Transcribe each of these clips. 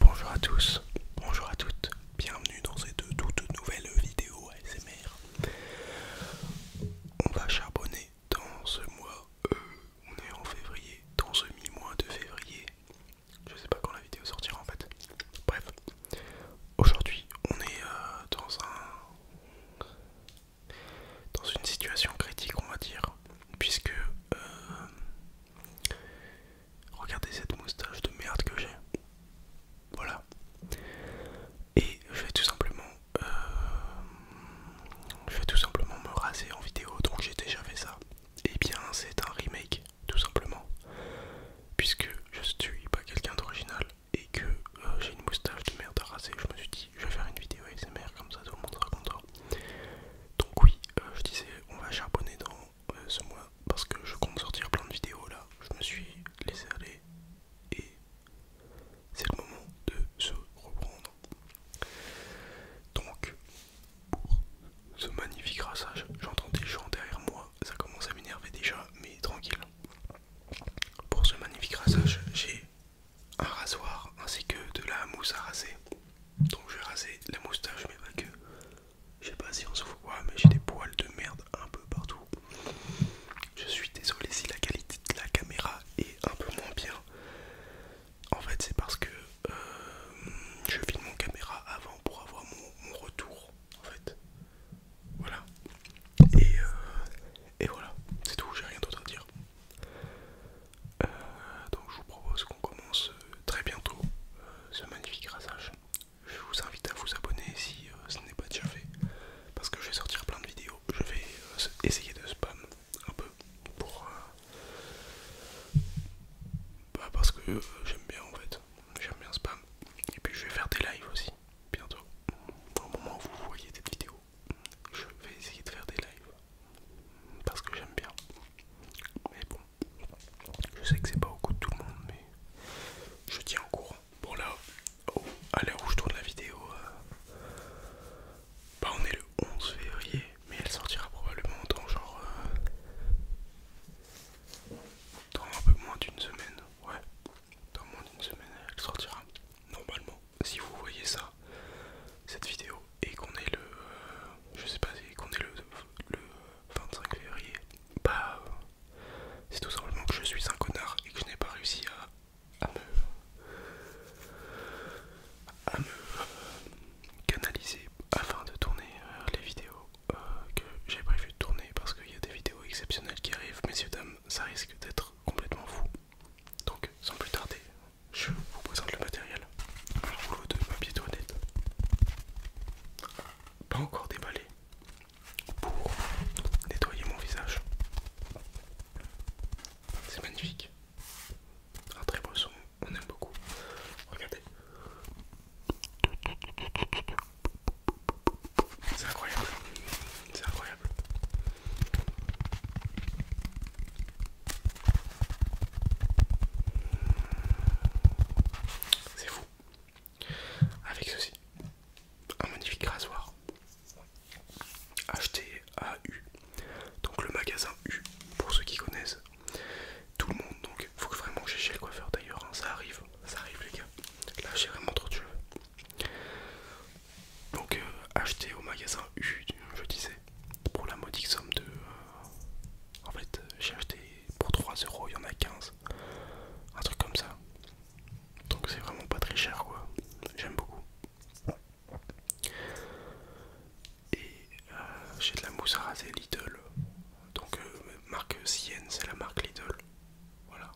Bonjour à tous, bonjour à toutes, bienvenue dans cette toute nouvelle vidéo ASMR. On va charbonner dans ce mois, euh, on est en février, dans ce mi-mois de février. Je sais pas quand la vidéo sortira en fait. Bref, aujourd'hui on est euh, dans un dans une situation critique on va dire, puisque euh, Regardez cette moustache de merde que j'ai. Voilà. Et je vais tout simplement... Euh, je vais tout simplement me raser en vidéo, donc j'ai déjà fait ça. Et eh bien c'est un remake, tout simplement. Puisque je suis pas quelqu'un d'original et que euh, j'ai une moustache de merde à raser, je me suis dit je vais faire une vidéo ASMR comme ça tout le monde sera Donc oui, euh, je disais on va charbonner dans bah, ce mois parce que je compte sortir plein de vidéos là. Je me suis laissé aller et c'est le moment de se reprendre. Donc, pour ce magnifique rassage, j'entends des gens derrière moi, ça commence à m'énerver déjà, mais tranquille. Pour ce magnifique rassage, j'ai un rasoir ainsi que de la mousse à raser donc je vais raser la moustache mais pas que. Je sais pas si on se voit mais j'ai des poils de merde un peu partout. Je suis désolé si la qualité de la caméra est un peu moins bien. En fait c'est parce que euh, je filme mon caméra avant pour avoir mon, retour en fait. Voilà. Et, euh, et voilà, c'est tout, j'ai rien d'autre à dire. Euh, donc je vous propose qu'on commence euh, très bientôt euh, ce magnifique rasage. Je vous invite à vous abonner si ce n'est pas déjà fait, parce que je vais sortir plein de vidéos. Je vais essayer de spam un peu pour... Bah parce que j'aime bien en fait, j'aime bien spam. Et puis je vais faire des lives aussi, bientôt. Au moment où vous voyez cette vidéo, je vais essayer de faire des lives parce que j'aime bien. Mais bon, je sais que c'est pas au goût de tout le monde, mais je tiens au courant. Bon, là, oh, à l'heure où je tourne la vidéo, euh, bah on est le 11 février, mais elle sortira probablement dans genre. Euh, dans un peu moins d'une semaine, ouais. Dans moins d'une semaine, elle sortira. Normalement, si vous voyez ça, cette vidéo, et qu'on est le euh, je sais pas qu'on est le, 25 février bah c'est tout simplement que je suis un connard et que je n'ai pas réussi à, me canaliser afin de tourner euh, les vidéos euh, que j'ai prévu de tourner parce qu'il y a des vidéos exceptionnelles qui arrivent messieurs dames ça risque d'être complètement fou donc sans plus tarder je vous présente le matériel. Un rouleau de papier toilette. Pas encore déballé. Pour nettoyer mon visage. C'est magnifique. Un très beau son, on aime beaucoup. Regardez. C'est incroyable. C'est incroyable. C'est fou. Avec ceci, un magnifique rasoir acheté à U. Donc le magasin U, pour ceux qui connaissent. Tout le monde, donc faut que vraiment j'ai chez le coiffeur d'ailleurs, hein. ça arrive, ça arrive les gars. Là j'ai vraiment trop de cheveux. Donc acheté euh, au magasin U, je disais, pour la modique somme de... Euh, en fait, euh, j'ai acheté pour euros, il y en a 15. Un truc comme ça. Donc c'est vraiment pas très cher quoi. J'aime beaucoup. Et euh, j'ai de la mousse à raser Lidl. Donc marque Sienne, c'est la marque Lidl. Voilà.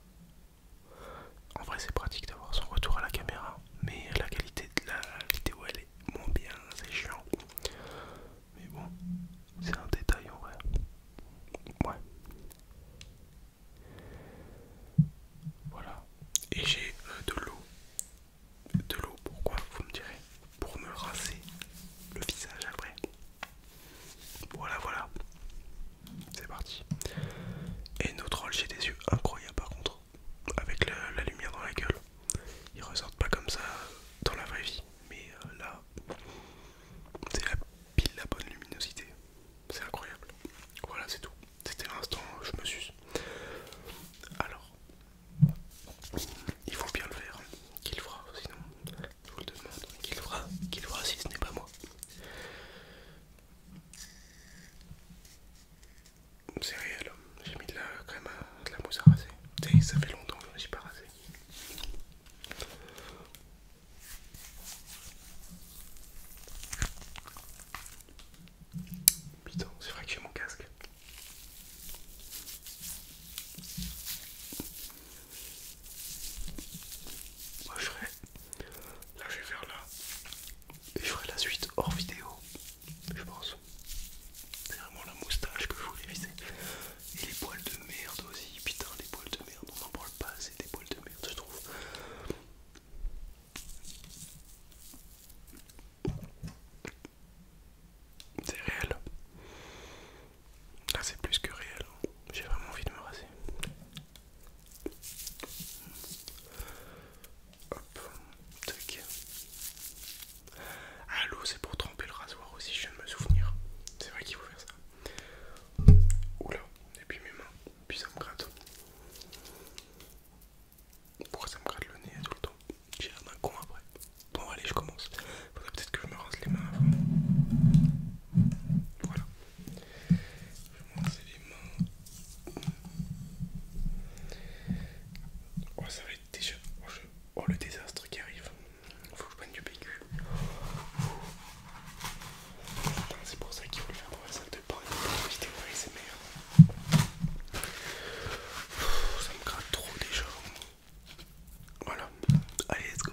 En vrai c'est pratique d'avoir son retour à la caméra. Mais la qualité de la vidéo elle est c'est bien, c'est chiant. Mais bon, c'est un détail en vrai. Ouais. Voilà. Et j'ai euh, de l'eau. De l'eau, pourquoi Vous me direz. Pour me raser le visage après. Voilà, voilà. C'est parti. Et notre rôle, j'ai des yeux incroyables par contre. Avec la lumière dans la gueule. Ils ressortent pas comme ça dans la vraie vie, mais euh, là, c'est la pile la bonne luminosité. C'est incroyable. Voilà, c'est tout. C'était l'instant, je me suis. Alors, il faut bien le faire. Qu'il fera, sinon, je vous le demande. Qu'il fera, qu'il fera si ce n'est pas moi c'est réel. J'ai mis de la crème de la mousse à raser. Et ça fait longtemps que je ne suis pas rasé. Putain, c'est vrai que j'ai mon casque. Moi je ferai. Là je vais faire là. Et je ferai la suite hors vidéo je pense. C'est vraiment la moustache que je voulais viser. Et les poils de merde aussi, putain, les poils de merde, on n'en parle pas assez des poils de merde, je trouve. C'est réel. Là, c'est plus que réel. J'ai vraiment envie de me raser. Hop, tac. Ah, l'eau, c'est pour tremper le rasoir aussi, je viens de me souvenir. C'est vrai qu'il faut faire ça. Oula, et puis mes mains, puis ça me gratte. Pourquoi ça me gratte le nez hein, tout le temps J'ai un con après. Bon, allez, je commence. Faudrait peut-être que je me rase les mains avant. Voilà. Je vais me rase les mains. Oh, ça va être déjà. Oh, oh, le désastre qui arrive. Faut que je prenne du PQ. C'est pour ça qu'il faut le faire dans la salle de bain pour vidéo SMR. Ça me gratte trop déjà. Voilà. Allez, let's go.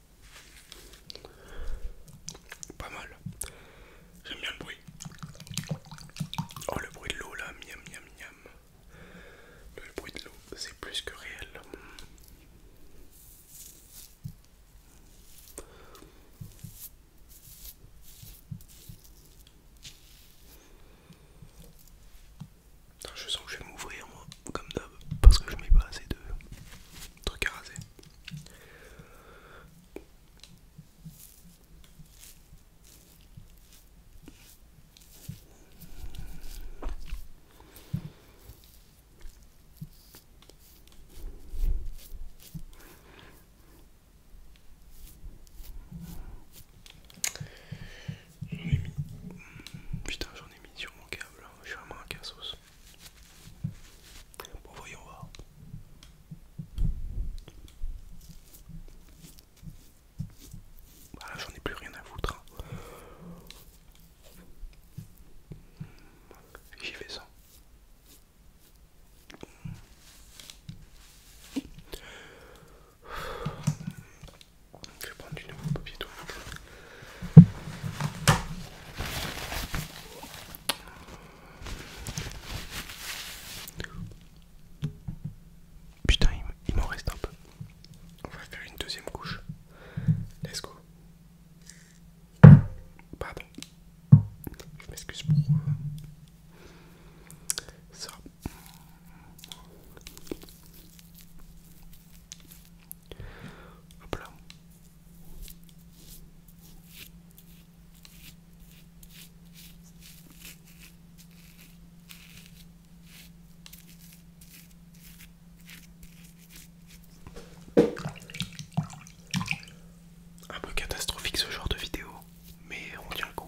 Pas mal. J'aime bien le bruit. Oh le bruit de l'eau là, miam miam miam. Le bruit de l'eau, c'est plus que réel. Je sens que je vais m'ouvrir moi, comme d'hab, parce que je mets pas assez de trucs à raser. J'en ai mis. Putain, j'en ai mis sur mon câble. Je suis vraiment un cassos voyons voir. Voilà, j'en ai plus rien à foutre. Hein. J'y vais sans. Je vais prendre du nouveau papier toilette. Putain, il m'en reste un peu. On va faire une deuxième couche. Let's go. Pardon. Je m'excuse pour euh, ça. Hop là. Un peu catastrophique ce genre de vidéo, mais on tient le coup.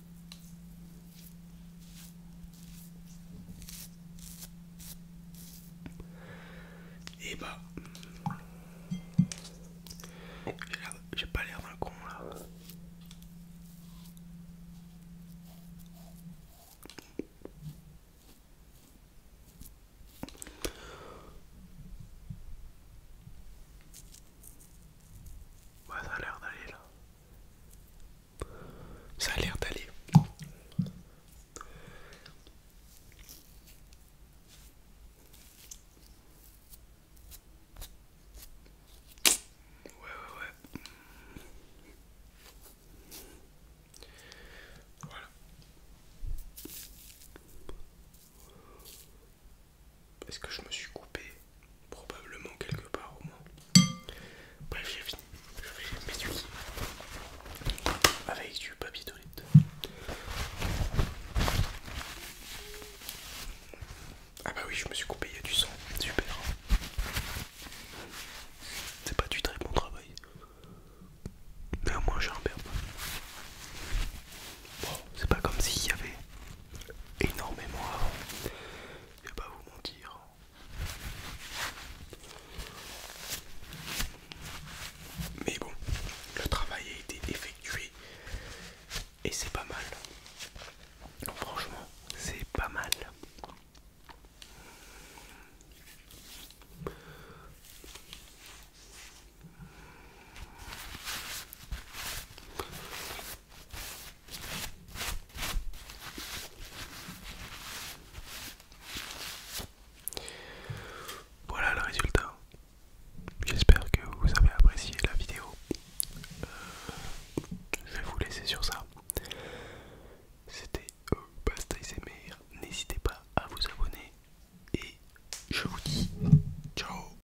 Et eh ben, bah. j'ai pas l'air d'un con là. Ouais, ça a l'air d'aller là. Ça a l'air d'aller. Ouais, ouais, ouais. Voilà. Est-ce que je me suis coupé Probablement quelque part au moins. Bref, j'ai fini. Je vais m'étudier avec du papier toilette. Ah bah oui, je me suis coupé, il y a du sang. Super. C'est pas du très bon travail. Mais au moins j'ai un père. Bon, c'est pas comme s'il y avait énormément avant. Je vais pas vous mentir. Mais bon, le travail a été effectué et c'est pas mal. franchement, c'est pas mal. Voilà le résultat. J'espère que vous avez apprécié la vidéo. Euh, je vais vous laisser sur ça. C'était et euh, Pasta N'hésitez pas à vous abonner. Et je vous dis ciao